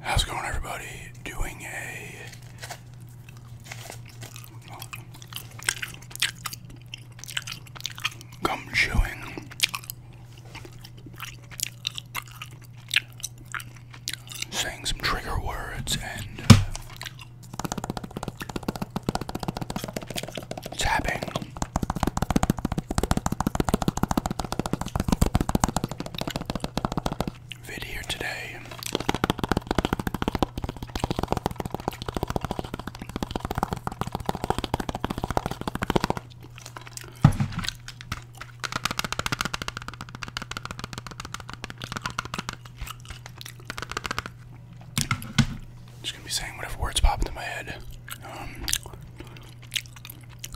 How's it going, everybody? Doing a gum chewing saying some trigger words and uh, tapping vid here today. Just gonna be saying whatever words pop into my head. Um,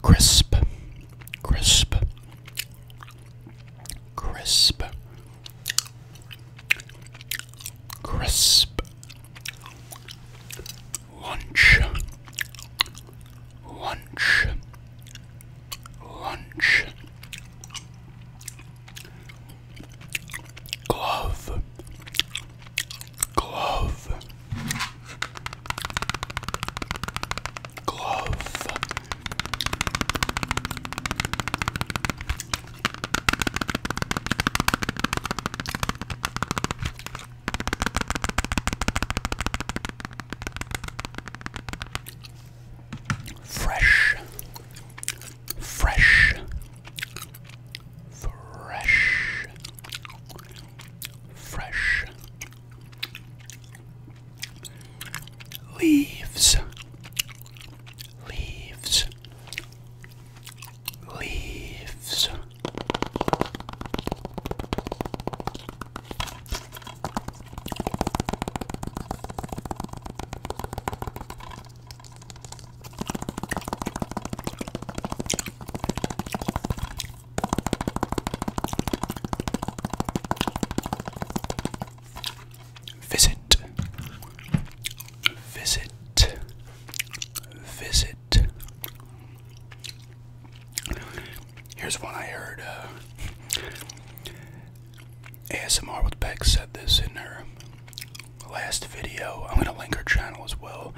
Crisp, crisp, crisp, crisp. Lunch, lunch, lunch. Glove, glove, Glove. Fresh, fresh, fresh, fresh, Leaves, leaves, leaves. Visit, visit, visit. Here's one I heard. Uh, ASMR with Beck said this in her last video. I'm gonna link her channel as well.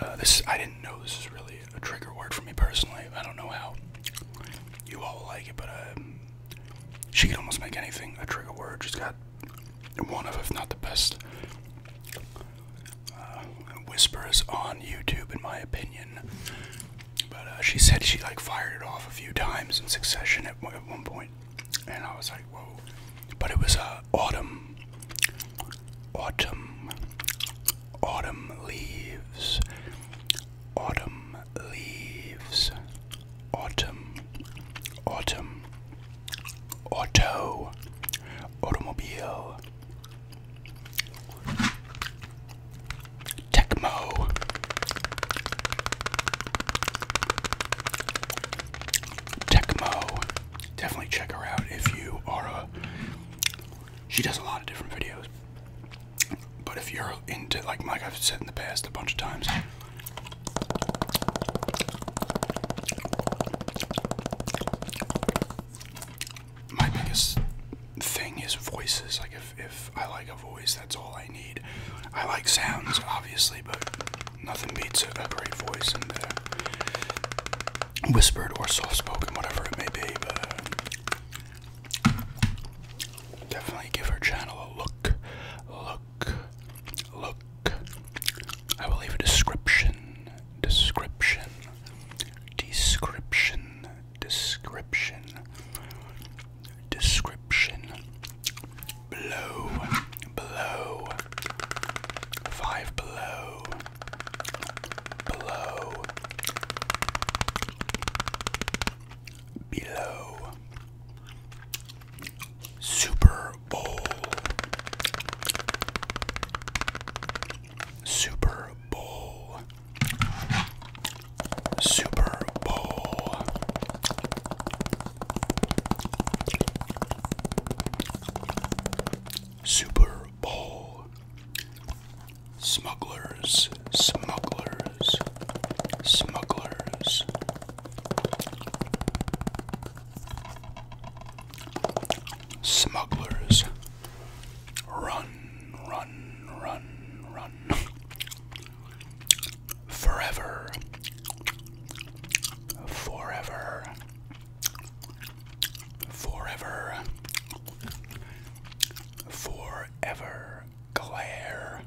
Uh, this I didn't know this is really a trigger word for me personally. I don't know how you all like it, but uh, she could almost make anything a trigger word. She's got one of, if not the best, uh, whispers on YouTube, in my opinion. But uh, she said she like fired it off a few times in succession at one, and I was like, whoa. But it was uh, autumn. Autumn, autumn leaves, autumn leaves, autumn, autumn, auto, automobile, Tecmo. Tecmo. Definitely check her out if you are a she does a lot of different videos. But if you're into like like I've said in the past a bunch of times, my biggest thing is voices. Like if if I like a voice, that's all I need. I like sounds obviously, but nothing beats a, great voice in there whispered or soft spoken, whatever it may be, but definitely give her channel a look. Look, look. I will leave a description, description, description, description, description. Below, below, five below below, below, Super Bowl, Super Bowl, Super Bowl. Super bowl. Smugglers, smugglers, smugglers. Smugglers. Run, run, run, run. Forever. Forever. Forever. Forever. Glare.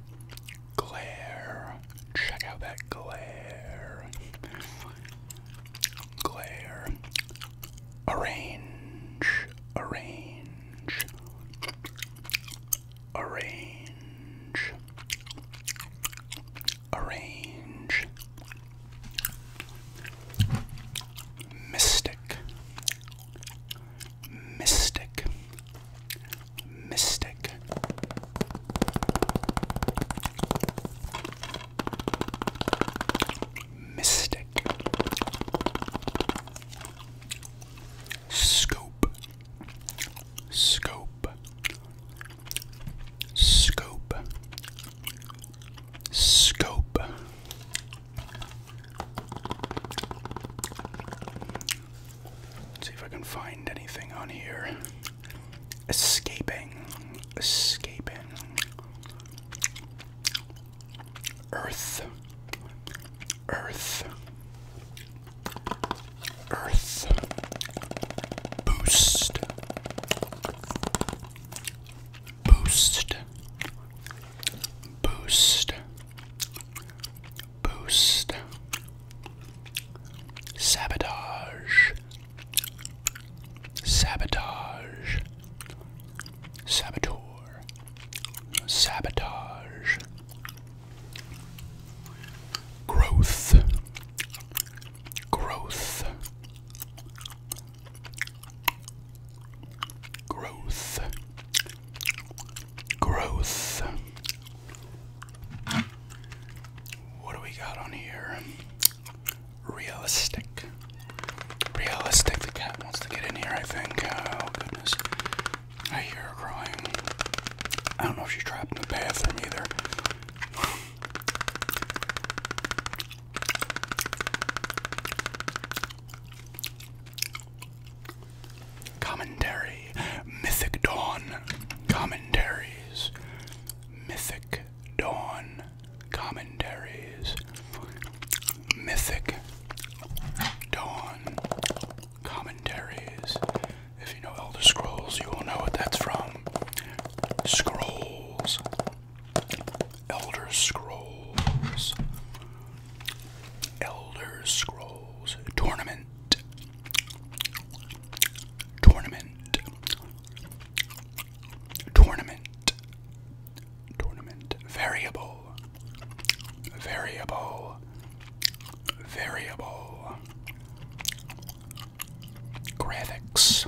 Glare. Check out that glare. Glare. Arrange. Arrange. Arrange. Arrange. Mystic. Mystic. Mystic. Mystic. Scope. Scope. Scope. Scope. see if I can find anything on here. Escaping. Escaping. Earth. Earth. Earth. Boost boost, boost, boost, sabotage, sabotage, saboteur, sabotage, growth, growth. Growth. Growth. What do we got on here? Realistic. Realistic. The cat wants to get in here, I think. Oh, goodness. I hear her crying. I don't know if she's trapped in the bathroom either. Commentary Mythic Dawn Commentaries Mythic Dawn Commentaries Mythic Dawn Commentaries. If you know Elder Scrolls, you will know what that's from. Scrolls Elder Scrolls. Elder Scrolls Tournament. Tournament. Tournament. Tournament. Variable. Variable. Variable. Graphics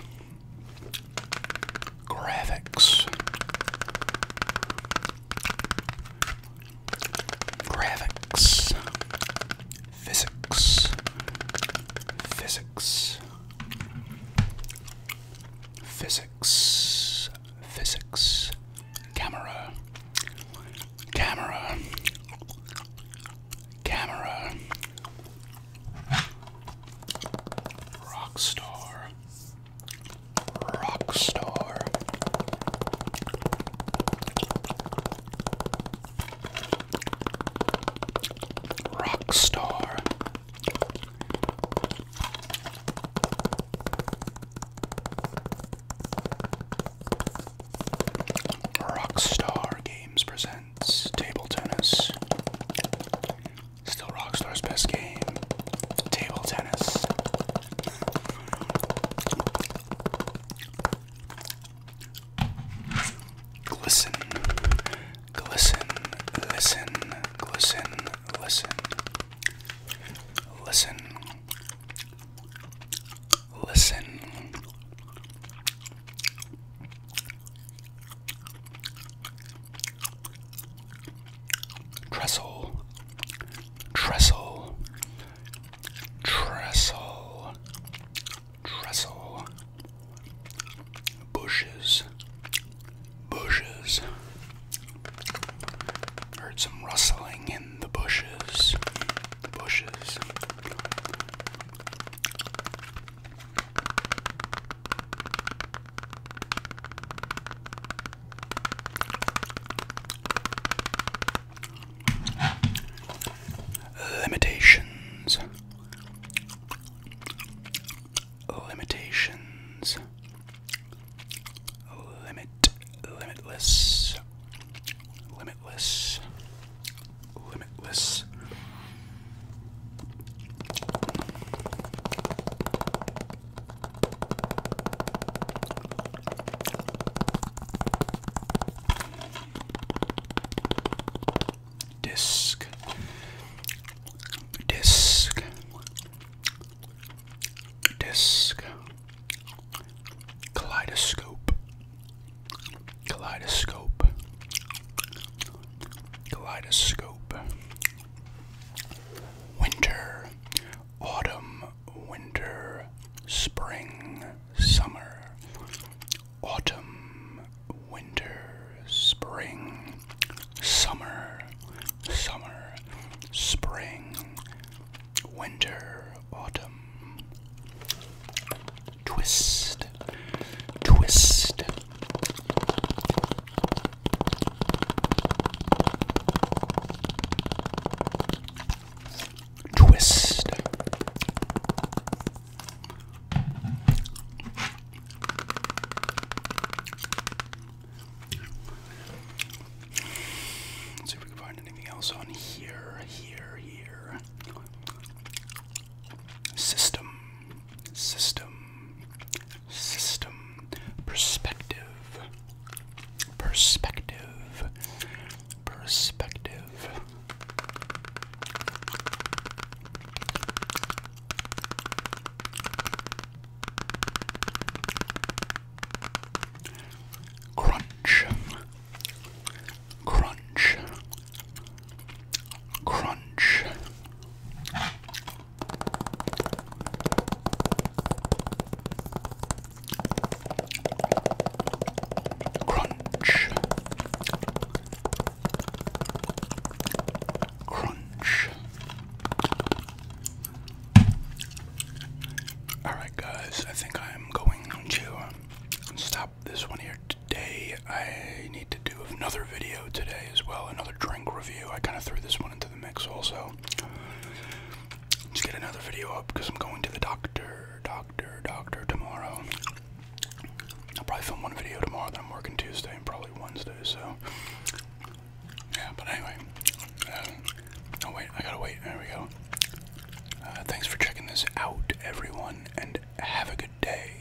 graphics, graphics, physics, physics, physics, physics, camera, camera, camera. Rockstar Rockstar. Rockstar. Rockstar Games presents Table Tennis. Still Rockstar's best game. Table tennis. Glisten, glisten, listen, glisten, listen, listen, listen, Trestle, trestle, trestle, trestle, bushes, bushes. Heard some rustling in the bushes, bushes. Limitations. Limitations. Limit. Limitless. Limitless. Limitless. Disc, disc, disc, kaleidoscope, kaleidoscope, kaleidoscope, Winter, autumn, winter, spring, summer, autumn, winter, spring, summer, summer, spring, winter, autumn. Twist, twist, Twist. Let's see if we can find anything else on here, here, here. System, system, system, perspective, perspective, perspective. Crunch, crunch, crunch, Crunch. Crunch. Alright, guys, I think I'm going to stop this one here today. I need to do another video today as well, another drink review. I kind of threw this one into the mix also. Let's get another video up because I'm going to the doctor, doctor, doctor tomorrow. I'll probably film one video tomorrow, then I'm working Tuesday and probably Wednesday, so. Yeah, but anyway. Um, wait, I gotta wait. There we go. Uh, thanks for checking this out, everyone, and have a good day.